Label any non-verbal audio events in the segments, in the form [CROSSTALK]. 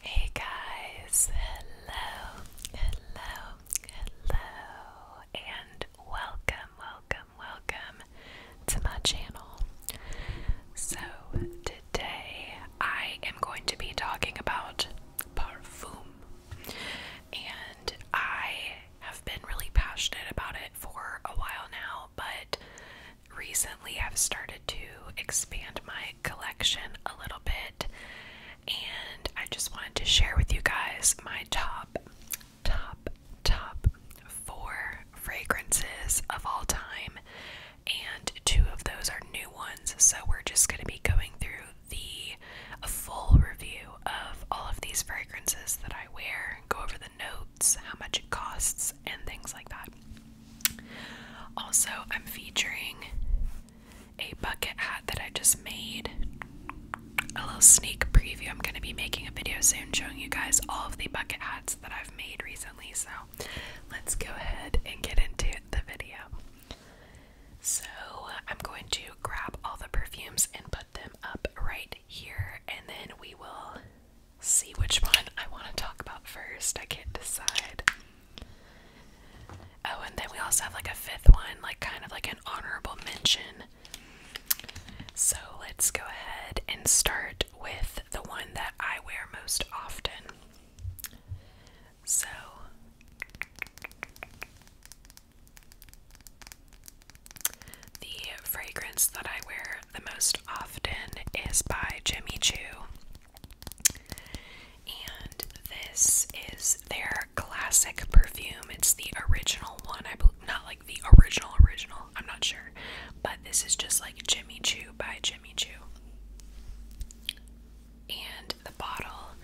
Hey guys, hello, hello, hello, and welcome, welcome, welcome to my channel. So, today I am going to be talking about perfume, and I have been really passionate about it for a while now, but recently I've started to expand my collection a little bit, and I just wanted to share with you guys my top, top, top four fragrances of all time, and two of those are new ones. So we're just going to be going through the a full review of all of these fragrances that I wear, go over the notes, how much it costs, and things like that. Also, I'm featuring a bucket hat that I just made. A little sneak preview. I'm going to be making a video soon showing you guys all of the bucket hats that I've made recently. So, let's go ahead and get into the video. So, I'm going to grab all the perfumes and put them up right here, and then we will see which one I want to talk about first. I can't decide. Oh, and then we also have like a fifth one, like kind of like an honorable mention. So let's go ahead and start with the one that I wear most often. So the fragrance that I wear the most often is by Jimmy Choo. And this is their classic perfume. It's the original one. I believe not like the original original. I'm not sure. But this is just like Jimmy Choo by Jimmy Choo. And the bottle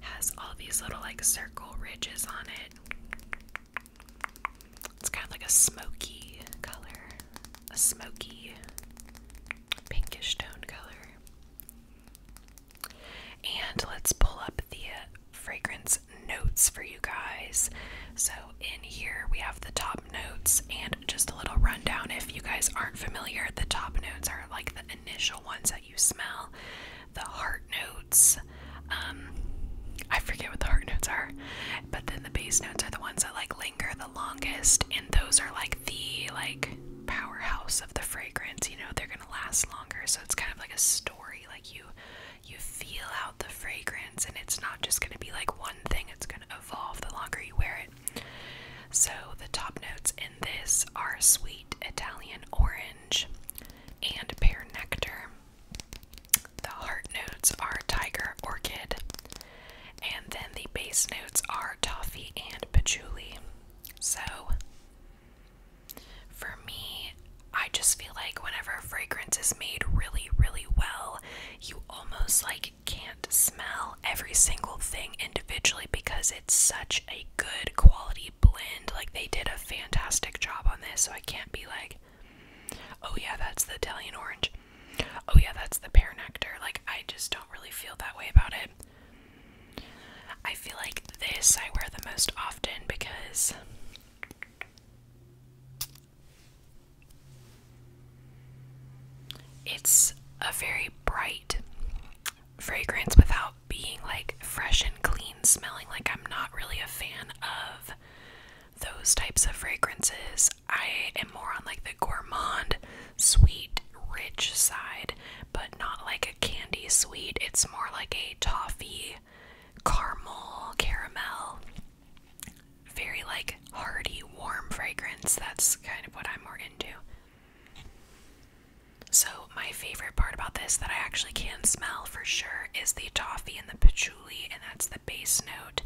has all these little like circle ridges on it. It's kind of like a smoky color. A smoky pinkish tone color. And let's pull up the fragrance notes for you guys. So, in here we have the top notes and just a little rundown. If you guys aren't familiar, the top notes are like the initial ones that you smell, the heart notes. Um, I forget what the heart notes are, but then the base notes are the ones that like linger the longest and those are like the like powerhouse of the fragrance you know they're gonna last longer so it's kind of like a story like you you feel out the fragrance and it's not just gonna be like one thing it's gonna evolve the longer you wear it so the top notes in this are sweet Italian orange and pear nectar the heart notes are tiger orchid and then the base notes are toffee and patchouli. So for me, I just feel like whenever a fragrance is made really, really well, you almost like can't smell every single thing individually because it's such a good quality blend. Like they did a fantastic job on this, so I can't be like, oh yeah, that's the Italian orange. Oh, yeah, that's the pear nectar. Like, I just don't really feel that way about it. I feel like this I wear the most often because it's a very bright fragrance without being like fresh and clean smelling. Like, I'm not really a fan of those types of fragrances because I am more on like the gourmand, sweet, rich side, but not like a candy sweet. It's more like a toffee, caramel, caramel, very like hearty, warm fragrance. That's kind of what I'm more into. So, my favorite part about this that I actually can smell for sure is the toffee and the patchouli, and that's the base note.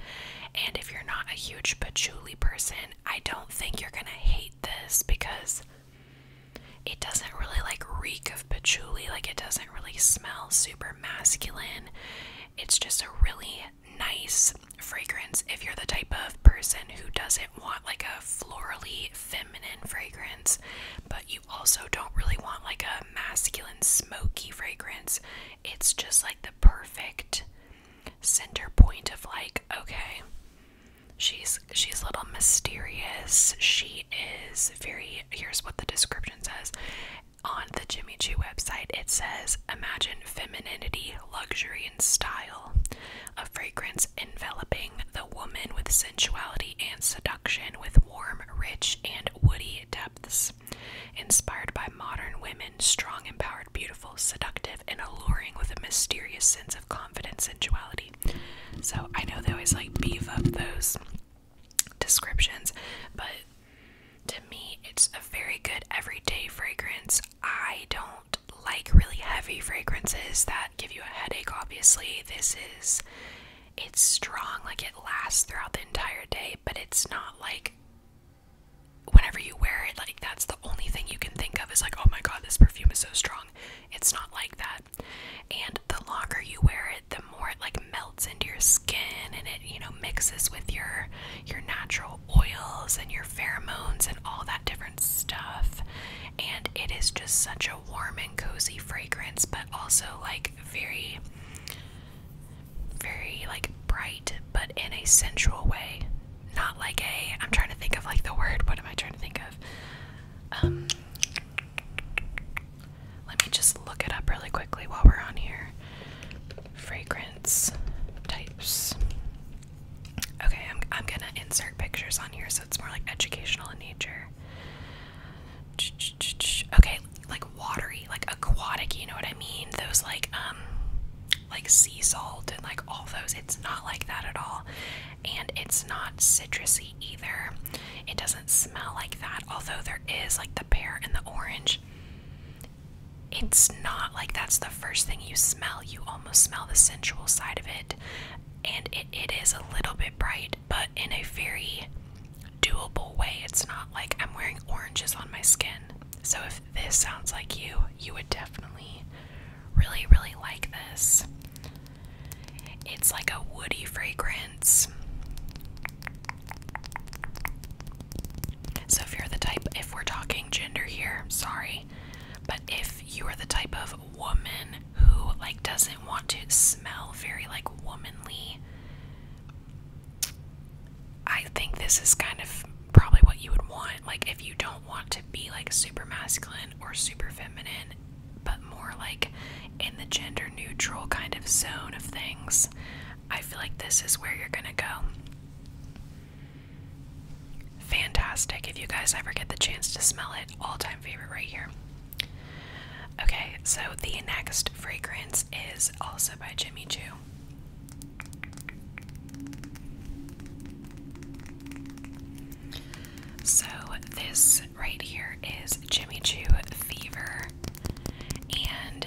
And if you're not a huge patchouli person, I don't think you're gonna hate this because it doesn't really like reek of patchouli, like it doesn't really smell super masculine. It's just a really nice fragrance if you're the type of person who doesn't want like a florally feminine fragrance, but you also don't really want like a masculine smoky fragrance. It's just like the perfect center point of like, okay, she's she's a little mysterious. She is very here's what the description says. On the Jimmy Choo website, it says imagine femininity, luxury, and style. A fragrance enveloping the woman with sensuality and seduction with warm, rich, and woody depths inspired by modern women, strong, empowered, beautiful, seductive, and alluring with a mysterious sense of confidence and sensuality. So I know they always like beef up those descriptions, but to me, it's a very good everyday fragrance. I don't like really heavy fragrances that give you a headache, obviously. This is, it's strong, like it lasts throughout the entire day, but it's not like whenever you wear it, like that's the only thing you can think of is like, oh my god, this perfume is so strong. It's not like that. And the longer you wear it, the more it like melts into your skin and it, you know, mixes with your your natural oils and your pheromones and all that different stuff. And it is just such a warm and cozy fragrance, but also like very very like bright but in a sensual way not like a i'm trying to think of like the word what am i trying to think of um let me just look it up really quickly while we're on here fragrance types okay i'm, I'm gonna insert pictures on here so it's more like educational in nature okay like watery like aquatic you know what i mean those like um like sea salt and like all those. It's not like that at all. And it's not citrusy either. It doesn't smell like that, although there is like the pear and the orange. It's not like that's the first thing you smell. You almost smell the sensual side of it. And it is a little bit bright, but in a very doable way. It's not like I'm wearing oranges on my skin. So, if this sounds like you, you would definitely really, really like this. It's like a woody fragrance. So, if you're the type, if we're talking gender here, sorry, but if you are the type of woman who like doesn't want to smell very like womanly I think this is kind of probably what you would want. Like, if you don't want to be like super masculine or super feminine, but more like in the gender neutral kind of zone of things, I feel like this is where you're gonna go. Fantastic. If you guys ever get the chance to smell it, all time favorite right here. Okay, so the next fragrance is also by Jimmy Choo. So, this right here is Jimmy Choo Fever, and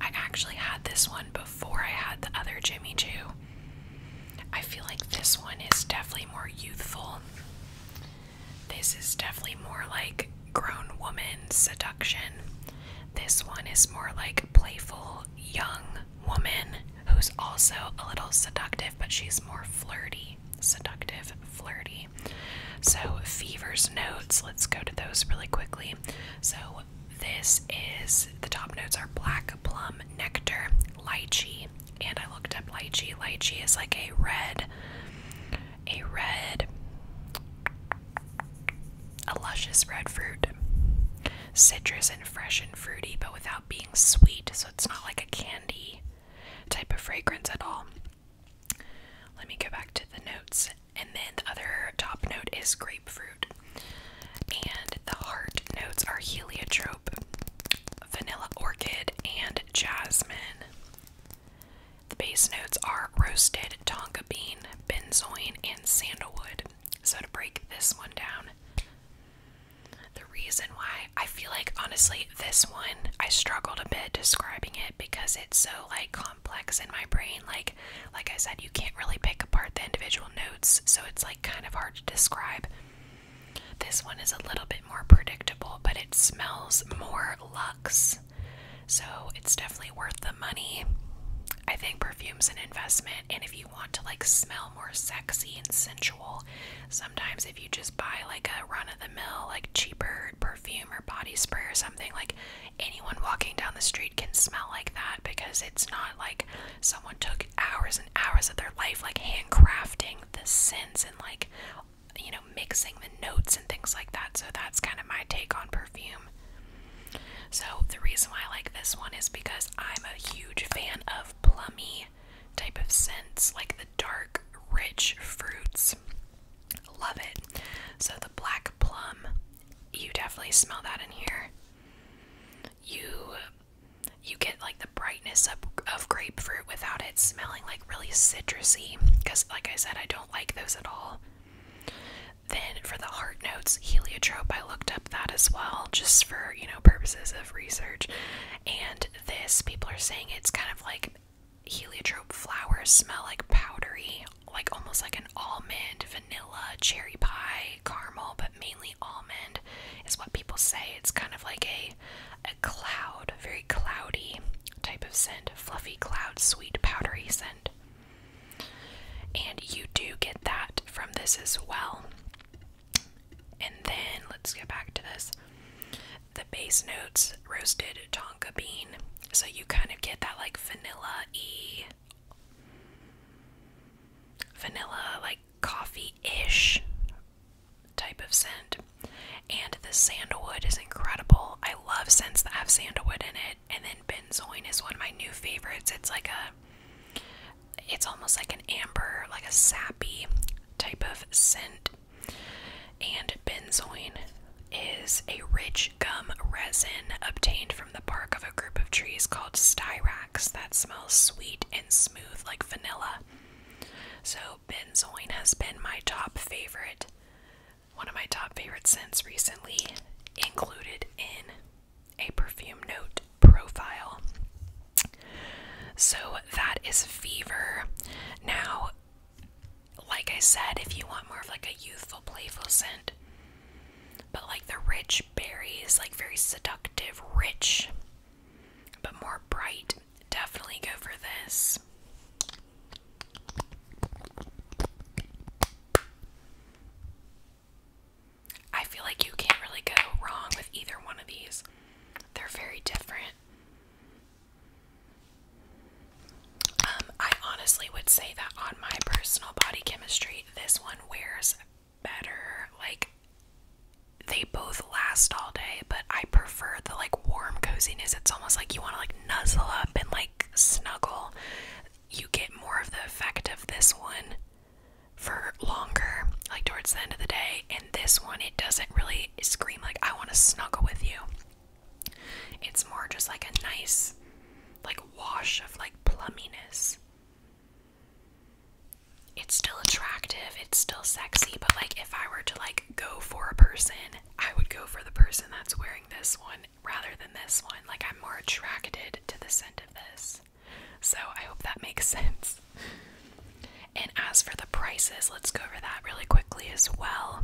I actually had this one before I had the other Jimmy Choo. I feel like this one is definitely more youthful. This is definitely more like grown woman seduction. This one is more like playful young woman who's also a little seductive, but she's more flirty. Seductive, flirty. So, Fever's notes, let's go to those really quickly. So, this is the top notes are black plum, nectar, lychee, and I looked up lychee. Lychee is like a red, a red a luscious red fruit. Citrus and fresh and fruity, but without being sweet, so it's not like a candy type of fragrance at all. Let me go back to the notes. And then the other top note is grapefruit. And the heart notes are heliotrope, vanilla orchid, and jasmine. The base notes are roasted tonka bean, benzoin, and sandalwood. So, to break this one down, the reason why I feel like honestly this one I struggled a bit describing it because it's so like complex in my brain. Like, like I said, you can't really pick apart the individual notes, so it's like kind of hard to describe. This one is a little bit more predictable, but it smells more luxe. So it's definitely worth the money. I think perfume's an investment, and if you want to like smell more sexy and sensual, sometimes if you just buy like a run of the mill, like cheaper perfume or body spray or something, like anyone walking down the street can smell like that because it's not like someone took hours and hours of their life like handcrafting the scents and like you know mixing the notes and things like that. So that's kind of my take on perfume. So the reason why I like this one is because I'm a huge fan of plummy type of scents, like the dark, rich fruits. Love it. So the black plum, you definitely smell that in here. You you get like the brightness of grapefruit without it smelling like really citrusy because like I said I don't like those at all. Then for the heart notes, heliotrope, I looked up that as well, just for, you know, purposes of research. And this, people are saying it's kind of like heliotrope flowers smell like powdery, like almost like an almond, vanilla, cherry pie, caramel, but mainly almond is what people say. It's kind of like a a cloud, very cloudy type of scent, fluffy cloud, sweet powdery scent. And you do get that from this as well. And then let's get back to this. The base notes roasted tonka bean. So you kind of get that like vanilla e, vanilla like coffee-ish type of scent. And the sandalwood is incredible. I love scents that have sandalwood in it. And then benzoin is one of my new favorites. It's like a, it's almost like an amber, like a sappy type of scent. And benzoin is a rich gum resin obtained from the bark of a group of trees called styrax that smells sweet and smooth like vanilla. So benzoin has been my top favorite one of my top favorite scents recently included in a perfume note profile. So that is Fever. Now, like I said, if you want more of like a youthful, playful scent, but like the rich berries, like very seductive, rich, but more bright, definitely go for this. I feel like you can't really go wrong with either one of these. They're very different. Um, I honestly would say that on my personal body chemistry, this one wears better. Like, they both last all day, but I prefer the like warm coziness. It's almost like you want to like nuzzle up and like snuggle you get more of the effect of this one for longer, like towards the end of the day. And this one, it doesn't really scream like, I want to snuggle with you. It's more just like a nice, like, wash of like plumminess. It's still attractive, it's still sexy, but like, if I were to like go for a person, I would go for the person that's wearing this one rather than this one. Like, I'm more attracted to the scent of this. So, I hope that makes [LAUGHS] sense. And as for the prices, let's go over that really quickly as well.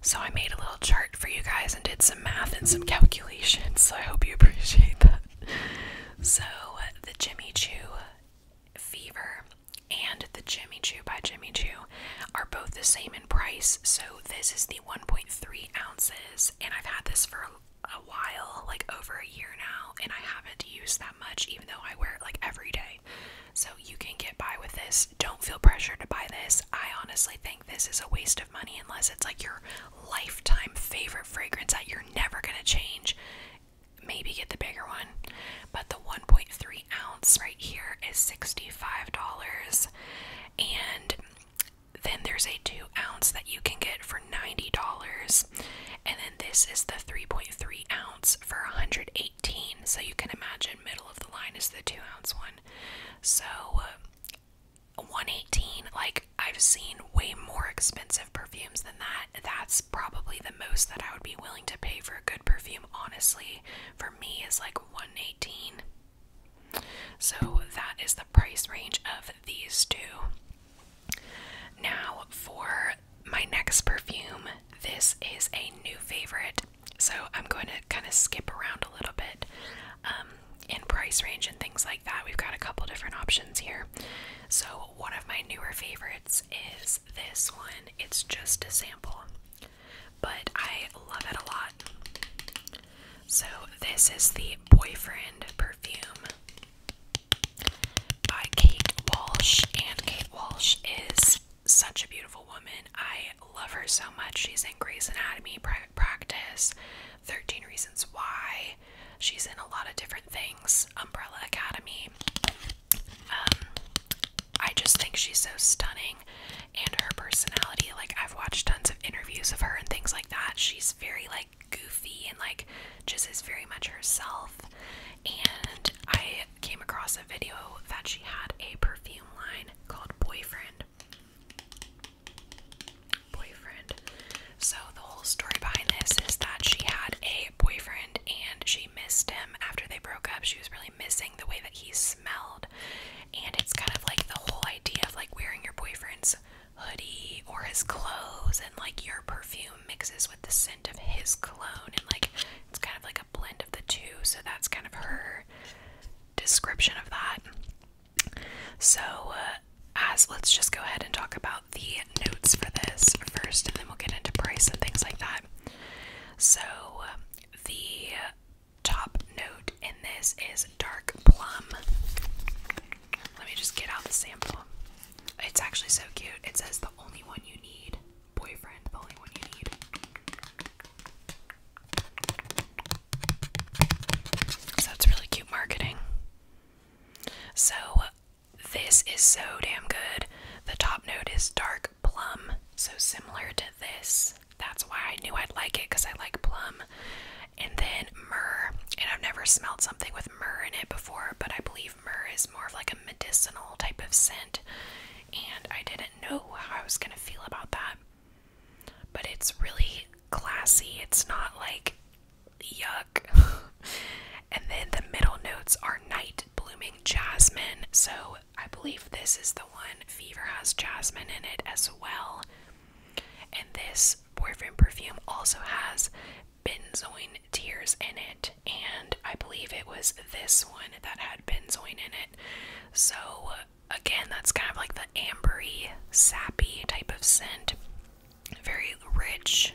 So, I made a little chart for you guys and did some math and some calculations. So, I hope you [LAUGHS] appreciate that. So, the Jimmy Choo Fever and the Jimmy Choo by Jimmy Choo are both the same in price. So this is the 1.3 ounces, and I've had this for a while, like over a year now, and I haven't used that much, even though I wear it like every day. So you can get by with this. Don't feel pressured to buy this. I honestly think this is a waste of money unless it's like your lifetime favorite fragrance that you're never gonna change. Maybe get the bigger one. But the 1.3 ounce right here is $65. And then there's a two ounce that you can get for $90. And then this is the 3.3 ounce for 118. So you can imagine middle of the line is the two ounce one. So uh, 118, like I've seen way more expensive perfumes than that. That's probably the most that I would be willing to pay for a good perfume, honestly. For me is like 118. So that is the price range of these two. Now, for my next perfume, this is a new favorite. So I'm going to kind of skip around a little bit um, in price range and things like that. We've got a couple different options here. So, one of my newer favorites is this one, it's just a sample but I love it a lot. So, this is the Boyfriend perfume by Kate Walsh, and Kate Walsh is such a beautiful woman. I love her so much. She's in Grey's Anatomy, Private Practice, 13 Reasons Why. She's in a lot of different things, Umbrella Academy. Um, I just think she's so stunning and her personality. Like, I've watched tons of interviews of her and things like that. She's very, like, goofy and, like, just is very much herself. And I came across a video that she had a perfume line called Boyfriend. Boyfriend. So, the whole story behind this is that she had a boyfriend and she missed him after they broke up. She was really missing the way that he smelled. And it's kind of like the whole idea of like wearing your boyfriend's hoodie or his clothes and like your perfume mixes with the scent of his cologne and like it's kind of like a blend of the two. So that's kind of her description of that. So uh, as let's just go ahead and talk about the notes for this first and then we'll get into price and things like that. So the top note in this is dark plum. Let me just get out the sample. It's actually so cute. It says the only one you need. Boyfriend, the only one you need. So it's really cute marketing. So this is so damn good. The top note is dark plum, so similar to this. That's why I knew I'd like it because I like plum. And then myrrh, and I've never smelled something with myrrh in it before, but I believe myrrh is more of like a medicinal type of scent. And I didn't know how I was going to feel about that. But it's really classy, it's not like yuck. [LAUGHS] and then the middle notes are night blooming jasmine, so I believe this is the one Fever has jasmine in it as well. And this boyfriend perfume also has benzoin tears in it. And I believe it was this one that had benzoin in it. So again, that's kind of like the ambery, sappy type of scent. Very rich,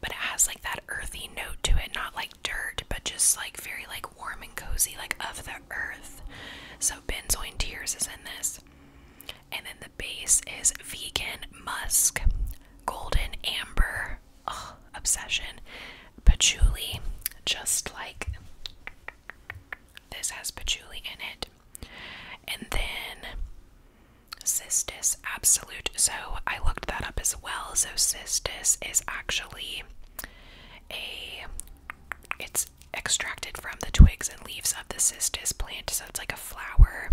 but it has like that earthy note to it, not like dirt, but just like very like warm and cozy, like of the earth. So benzoin tears is in this. And then the base is vegan musk, golden amber, obsession, patchouli, just like this has patchouli in it. And then Cistus Absolute. So I looked that up as well. So Cistus is actually a it's extracted from the twigs and leaves of the cistus plant, so it's like a flower,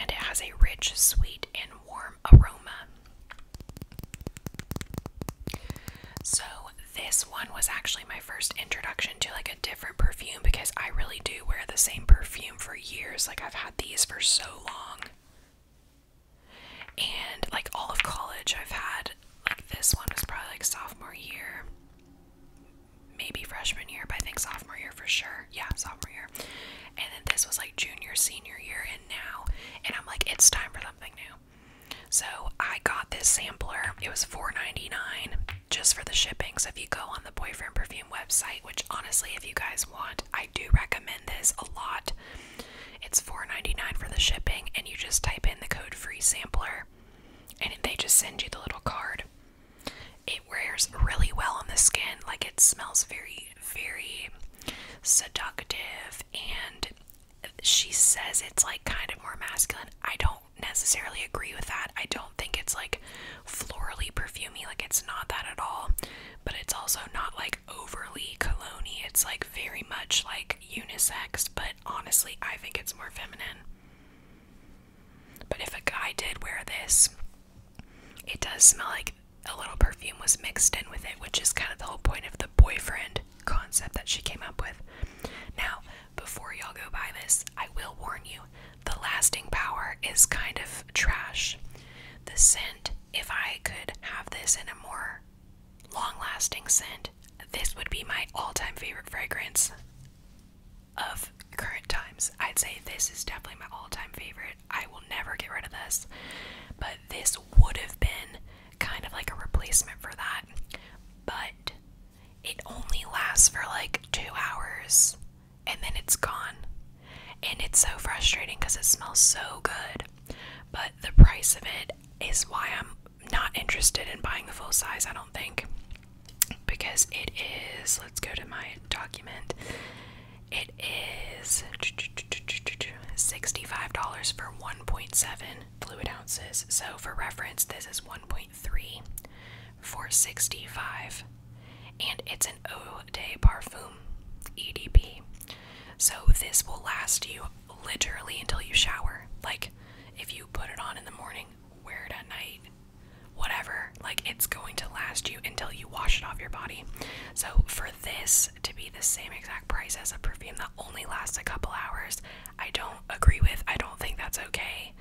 and it has a rich, sweet, and warm aroma. So this one was actually my first introduction to like a different perfume because I really do wear the same perfume for years. Like I've had these for so long. And like all of college, I've had like this one was probably like sophomore year, maybe freshman year, but I think sophomore year for sure. Yeah, sophomore year. And then this was like junior, senior year, and now. And I'm like, it's time for something new. So I got this sampler. It was $4.99 just for the shipping. So if you go on the Boyfriend Perfume website, which honestly, if you guys want, I do recommend this a lot. It's $4.99 for the shipping, and you just type in the code free sampler, and they just send you the little card. It wears really well on the skin, like it smells very, very seductive, and she says it's like kind of more masculine. I don't necessarily agree with that. I don't think it's like florally perfumy; like it's not that at all. But it's also not like overly cologne It's like very much like unisex, but honestly, I think it's more feminine. But if a guy did wear this, it does smell like a little perfume was mixed in with it, which is kind of the whole point of the boyfriend concept that she came up with. Now, before y'all go buy this, I will warn you the lasting power is kind of trash. The scent, if I could have this in a more long lasting scent. This would be my all time favorite fragrance of current times. I'd say this is definitely my all time favorite. I will never get rid of this, but this would have been kind of like a replacement for that. But it only lasts for like two hours and then it's gone. And it's so frustrating because it smells so good. But the price of it is why I'm not interested in buying the full size, I don't think. Because it is, let's go to my document. It is $65 for 1.7 fluid ounces. So, for reference, this is 1.3 for 65 and it's an eau de parfum EDP. So this will last you literally until you shower. Like if you put it on in the morning, wear it at night, whatever. Like it's going to last you until you wash it off your body. So for this to be the same exact price as a perfume that only lasts a couple hours, I don't agree with. I don't think that's okay.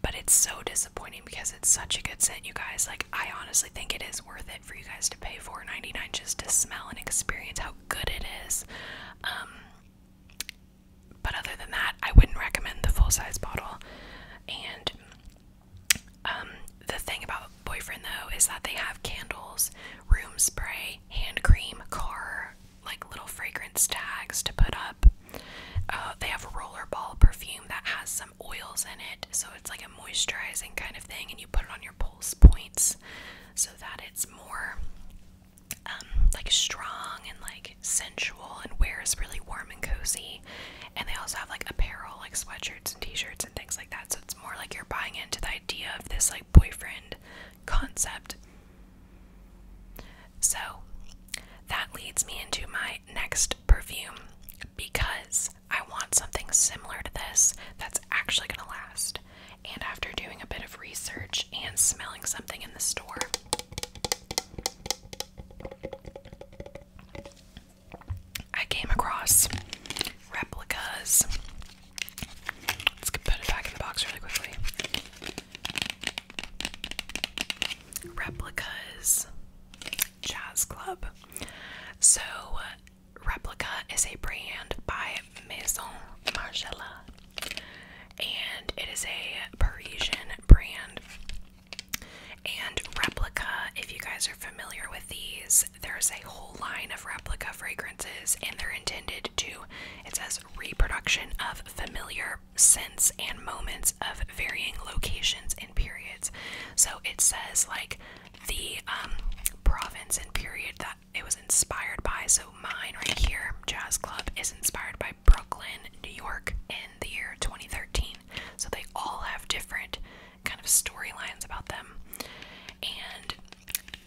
But it's so disappointing because it's such a good scent, you guys. Like I honestly think it is worth it for you guys to pay $4.99 just to smell and experience how good it is. Um, but other than that, I wouldn't recommend the full size bottle. And um, the thing about Boyfriend though is that they have candles, room spray, hand cream, car, like little fragrance tags to put up. Uh, they have a rollerball perfume that has some oils in it, so it's like a moisturizing kind of thing, and you put it on your pulse points so that it it's more um, like strong and like sensual and wears really warm and cozy. And they also have like apparel, like sweatshirts and t-shirts and things like that. So it's more like you're buying into the idea of this like boyfriend concept. So that leads me into my next perfume because I want something similar to this that's actually going to last and after doing a bit of research and smelling something in the store, I came across replicas. Let's put it back in the box really quickly. Replicas Jazz Club. So Replica is a brand by Maison Margiela, and it is a Parisian brand. And Replica, if you guys are familiar with these, there's a whole line of Replica fragrances, and they're intended to, it says, reproduction of familiar scents and moments of varying locations and periods. So it says, like, the um, province and period that it was inspired by. So mine right here, Jazz Club, is inspired by Brooklyn, New York, in the year 2013. So they all have different kind of storylines about them. And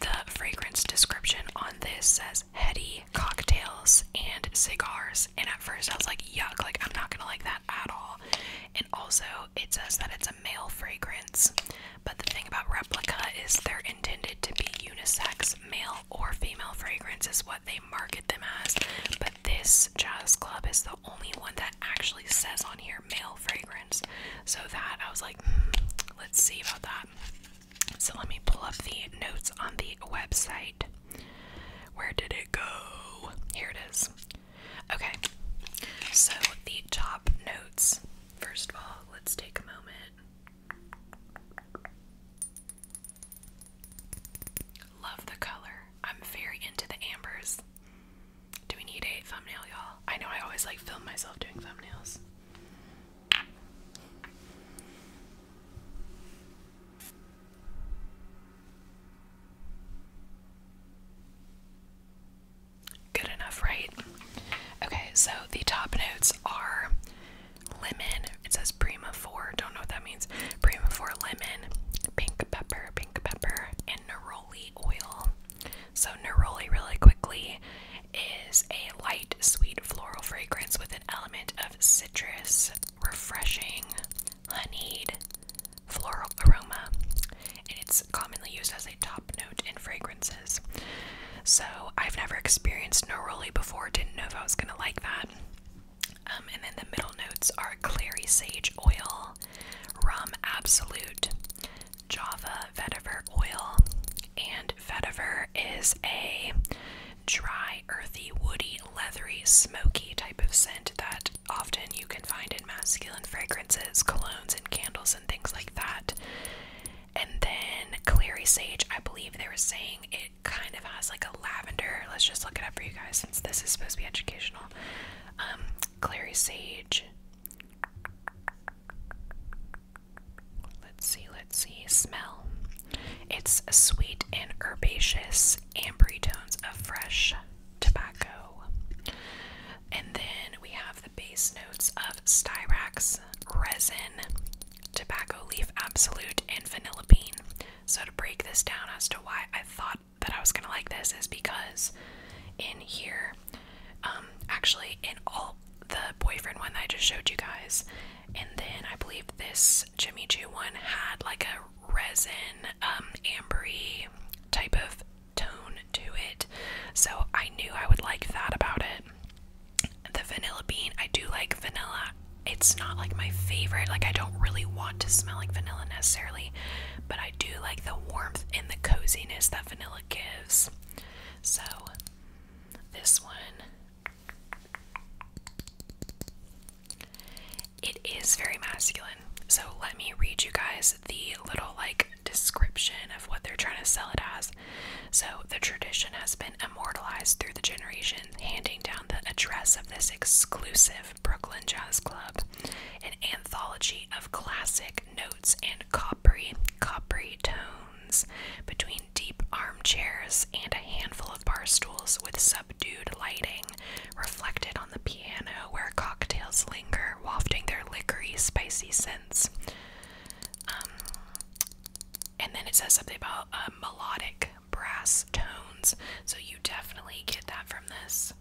the fragrance description on this says heady cocktails and cigars. And at first I was like, yuck, like I'm not gonna like that at all. And also it says that it's a male fragrance. But the thing about Replica is they're intended to be unisex, male or female fragrance is what they market them as. But this Jazz Club is the only one that actually says on here male fragrance. So that I was like, hmm, let's see about that. So let me pull up the notes on the website. Where did it go? Here it is. Okay, so the top notes First of all, let's take a moment. Love the color. I'm very into the ambers. Do we need a thumbnail, y'all? I know I always like film myself doing thumbnails. Good enough, right? Okay, so the top notes are lemon. It says Prima 4. Don't know what that means. Prima 4 lemon, pink pepper, pink pepper, and neroli oil. So, neroli, really quickly, is a light, sweet floral fragrance with an element of citrus, refreshing, honeyed floral aroma. And it's commonly used as a top note in fragrances. So I've never experienced neroli before, didn't know if I was gonna like that. Um, and then the middle notes are clary sage oil, rum absolute, Java vetiver oil, and vetiver is a dry, earthy, woody, leathery, smoky type of scent that often you can find in masculine fragrances, colognes, and candles, and things like that. And then Clary Sage, I believe they were saying it kind of has like a lavender. Let's just look it up for you guys since this is supposed to be educational. Um, Clary Sage. Let's see, let's see. Smell. It's sweet and herbaceous, ambery tones of fresh tobacco. And then we have the base notes of styrax, resin, tobacco leaf absolute, and vanilla bean. So, to break this down as to why I thought that I was gonna like this, is because in here, um, actually, in all the boyfriend one that I just showed you guys, and then I believe this Jimmy Choo one had like a resin, um, ambery type of tone to it. So I knew I would like that about it. The vanilla bean, I do like vanilla. It's not like my favorite. Like I don't really want to smell like vanilla necessarily, but I do like the warmth and the coziness that vanilla gives. So this one it is very masculine. So let me read you guys the little like description of what they're trying to sell it as. So the tradition has been immortalized through the generations, handing down the address of this exclusive Brooklyn Jazz Club, an anthology of classic notes and coppery, coppery tones between deep armchairs and a handful of bar stools with subdued lighting reflected on the piano where cocktails linger, wafting their liquory, spicy scents. Um, and then it says something about uh, melodic brass tones, so you definitely get that from this.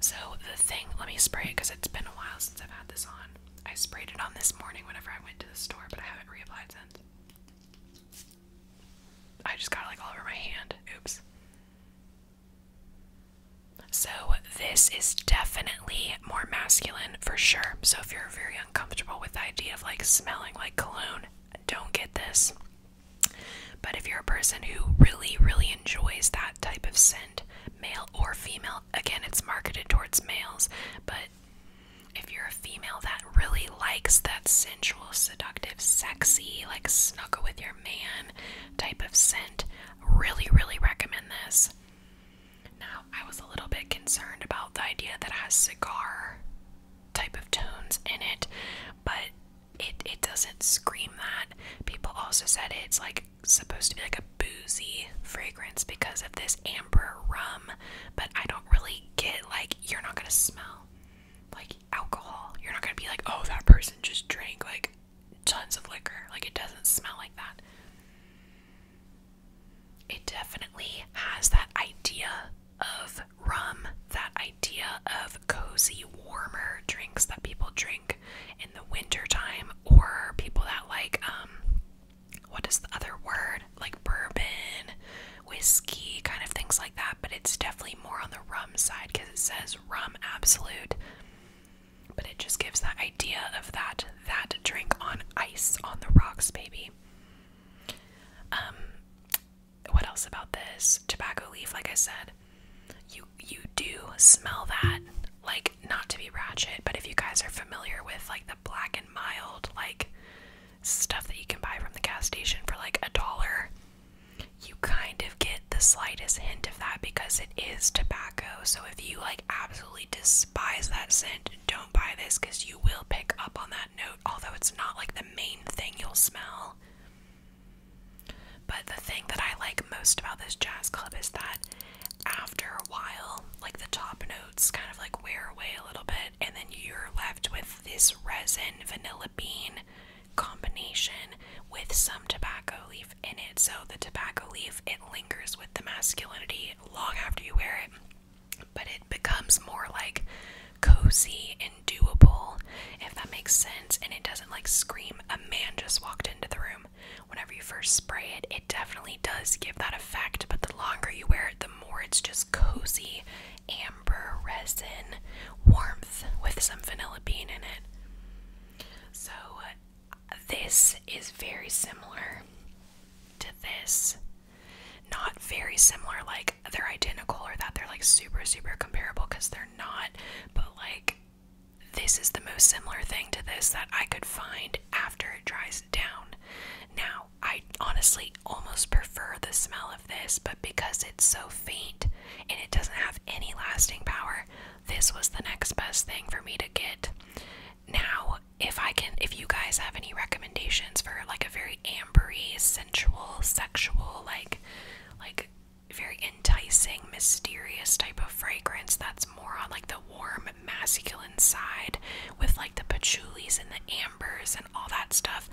So the thing, let me spray it because it's been a while since I've had this on. I sprayed it on this morning whenever I went to the store, but I haven't reapplied since. I just got like all over my hand. Oops. So, this is definitely more masculine for sure. So, if you're very uncomfortable with the idea of like smelling like cologne, don't get this. But if you're a person who really, really enjoys that type of scent, male or female, again, it's marketed towards males, but if you're a female that really likes that sensual, seductive, sexy, like snuggle with your man type of scent, Really, really recommend this. Now, I was a little bit concerned about the idea that it has cigar type of tones in it, but it it doesn't scream that. People also said it's like supposed to be like a boozy fragrance because of this amber rum, but I don't really get like you're not gonna smell like alcohol. You're not gonna be like, oh that person just drank like tons of liquor. Like it doesn't smell like that. It definitely has that idea of rum, that idea of cozy, warmer drinks that people drink in the wintertime, or people that like um what is the other word? Like bourbon, whiskey, kind of things like that, but it's definitely more on the rum side because it says rum absolute. But it just gives that idea of that that drink on ice on the rocks, baby. Um, what else about this tobacco leaf? Like I said, you you do smell that. Like not to be ratchet, but if you guys are familiar with like the black and mild like stuff that you can buy from the gas station for like a dollar, you kind of get the slightest hint of that because it is tobacco tobacco. So if you like absolutely despise that scent, don't buy this because you will pick up on that note, although it's not like the main thing you'll smell. But the thing that I like most about this jazz club is that after a while, like the top notes kind of like wear away a little bit, and then you're left with this resin vanilla bean combination with some tobacco leaf in it. So the tobacco leaf, it lingers with the masculinity long after you wear it, but it becomes more like cozy and doable, if that makes sense. And it doesn't like scream, a man just walked into the room. Whenever you first spray it, it definitely does give that effect, but the longer you wear it, the more it's just cozy, amber resin warmth with some vanilla bean in it. So this is very similar to this. Not very similar, like they're identical or that they're like super, super comparable because they're not, but like this is the most similar thing to this that I could find after it dries down. Now, I honestly almost prefer the smell of this, but because it's so faint and it doesn't have any lasting power, this was the next best thing for me to get. Now, if I can, if you guys have any recommendations for like a very ambery, sensual, sexual, like, like very enticing, mysterious type of fragrance that's more on like the warm, masculine side with like the patchoulis and the ambers and all that stuff,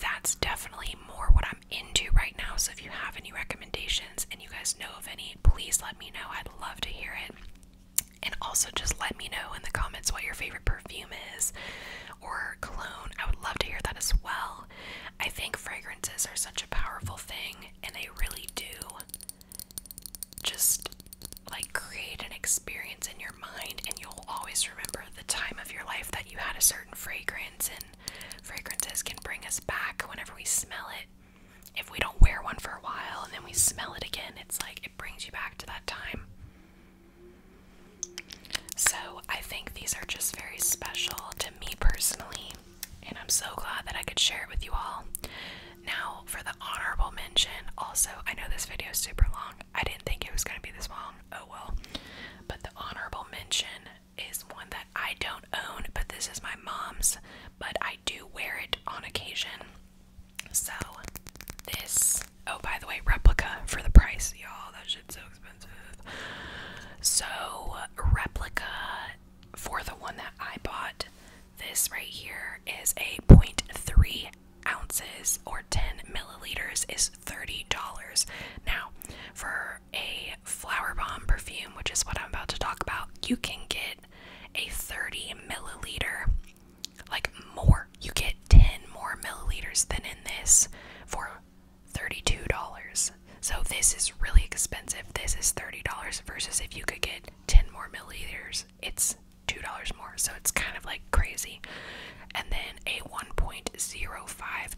that's definitely more what I'm into right now. So if you have any recommendations and you guys know of any, please let me know. I'd love to hear it. And also, just let me know in the comments what your favorite perfume is or cologne. I would love to hear that as well. I think fragrances are such a powerful thing, and they really do just like create an experience in your mind, and you'll always remember the time of your life that you had a certain fragrance. And fragrances can bring us back whenever we smell it if we don't wear one for a while and then we smell it again, it's like it brings you back to that time. So I think these are just very special to me personally, and I'm so glad that I could share it with you all. Now, for the honorable mention, also, I know this video is super long. I didn't think it was going to be this long. Oh well. But the honorable mention is one that I don't own, but this is my mom's, but I do wear it on occasion. So, this, oh, by the way, replica for the price, y'all. That shit's so expensive. So, replica for the one that I bought, this right here is a 0.3 ounces or 10 milliliters, is $30. Now, for a flower bomb perfume, which is what I'm about to talk about, you can get a 30 milliliter, like more. You get 10 more milliliters than in this for $32. So this is really expensive. This is $30 versus if you could get 10 more milliliters, it's $2 more. So it's kind of like crazy. And then a 1.05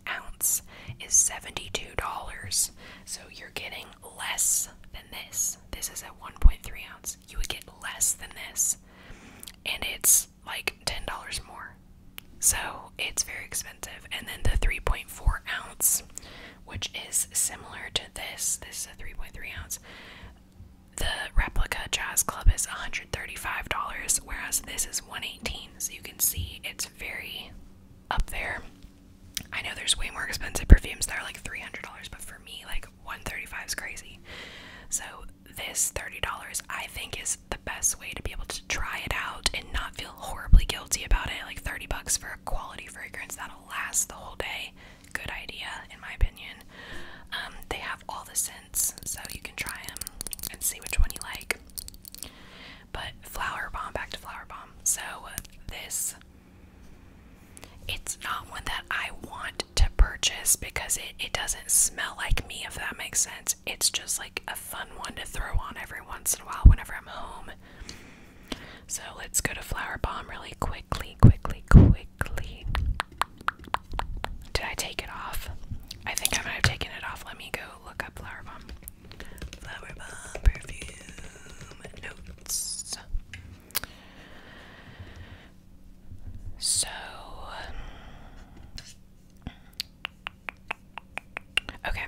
ounce is $72. So you're getting less than this. This is at 1.3 ounce. You would get less than this. And it's like $10 more. So it's very expensive. And then the 3.4 ounce, which is similar to this, this is a 3.3 ounce. The replica Jazz Club is $135, whereas this is $118. So you can see it's very up there. I know there's way more expensive perfumes that are like $300, but for me, like 135 is crazy. So this $30 I think is the best way to be able to try it out and not feel horribly guilty about it. Like 30 bucks for a quality fragrance that'll last the whole day. Good idea in my opinion. Um, they have all the scents so you can try them and see which one you like. But flower bomb, back to flower bomb. So this, it's not one that I want to purchase because it, it doesn't smell like me, if that makes sense. It's just like a fun one to throw on every once in a while whenever I'm home. So let's go to flower bomb really quickly, quickly, quickly. Did I take it off? I think I might have taken it off. Let me go look up flower bomb. Flower perfume notes. So, okay.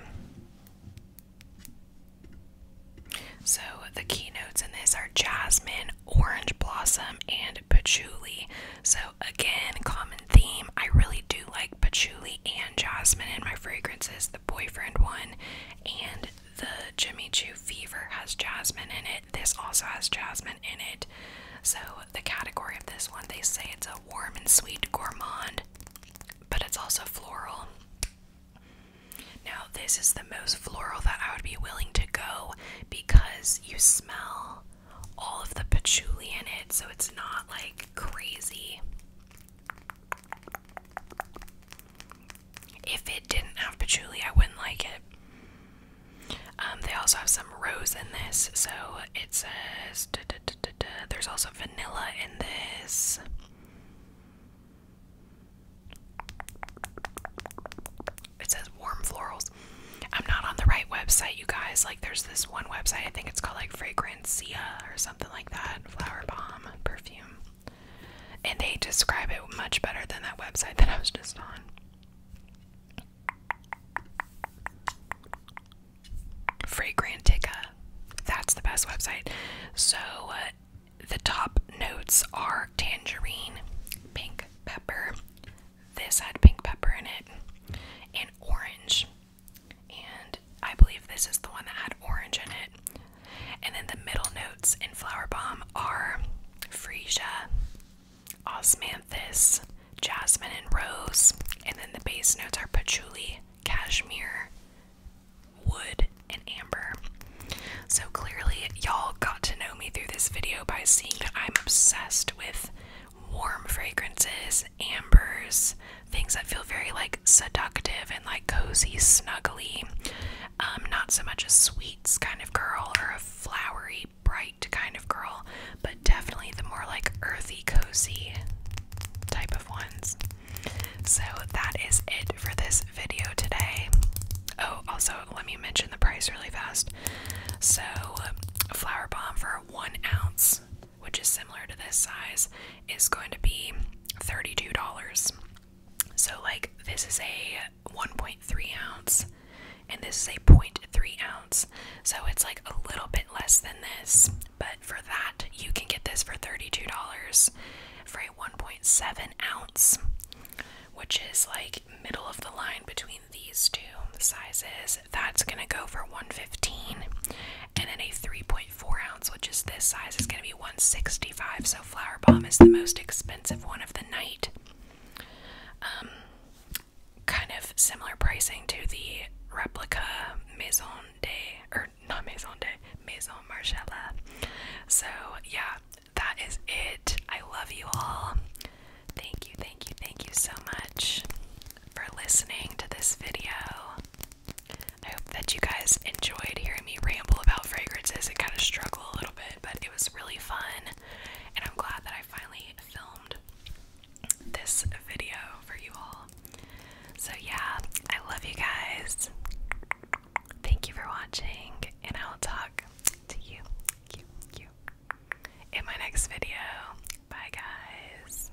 So, the keynotes in this are jasmine, orange blossom, and patchouli. So, again, common theme. I really do like patchouli and jasmine in my fragrances boyfriend one, and the Jimmy Choo Fever has jasmine in it. This also has jasmine in it. So, the category of this one, they say it's a warm and sweet gourmand, but it's also floral. Now, this is the most floral that I would be willing to go because you smell all of the patchouli in it, so it's not like crazy. If it didn't have patchouli, I wouldn't like it. Um, they also have some rose in this, so it says there's also vanilla in this. It says warm florals. I'm not on the right website, you guys. Like, there's this one website, I think it's called like Fragrantia or something like that. Flower Bomb, and they describe it much better than that website that I was just on. Fragrantica. That's the best website. So uh, the top notes are tangerine, pink pepper. This had pink pepper in it, and orange. And I believe this is the one that had orange in it. And then the middle notes in Flower Bomb are Freesia, Osmanthus, Jasmine, and Rose. And then the base notes are Patchouli, Cashmere, Wood, and Amber. So clearly, y'all got to know me through this video by seeing that I'm obsessed with warm fragrances, ambers, things that feel very like seductive and like cozy, snuggly. Um, not so much a sweets kind of girl or a flowery, bright kind of girl, but definitely the more like earthy, cozy type of ones. So that is it for this video today. Oh, also, let me mention the price really fast. So, Flower Bomb for one ounce which is similar to this size, is going to be $32. So, like, this is a 1.3 ounce, and this is a 0.3 ounce. So, it's like a little bit less than this, but for that, you can get this for $32 for a 1.7 ounce, which is like middle of the line between these two sizes. That's gonna go for 115 and then a 3.5 four ounce, which is this size, is going to be 165 So Flower Bomb is the most expensive one of the night. Um, kind of similar pricing to the replica Maison de, or not Maison de, Maison Margiela. So yeah, that is it. I love you all. Thank you, thank you, thank you so much for listening to this video. I hope that you guys enjoyed hearing me ramble about fragrances and kind of struggle a little bit, but it was really fun, and I'm glad that I finally filmed this video for you all. So, yeah, I love you guys. Thank you for watching, and I'll talk to you in my next video. Bye, guys.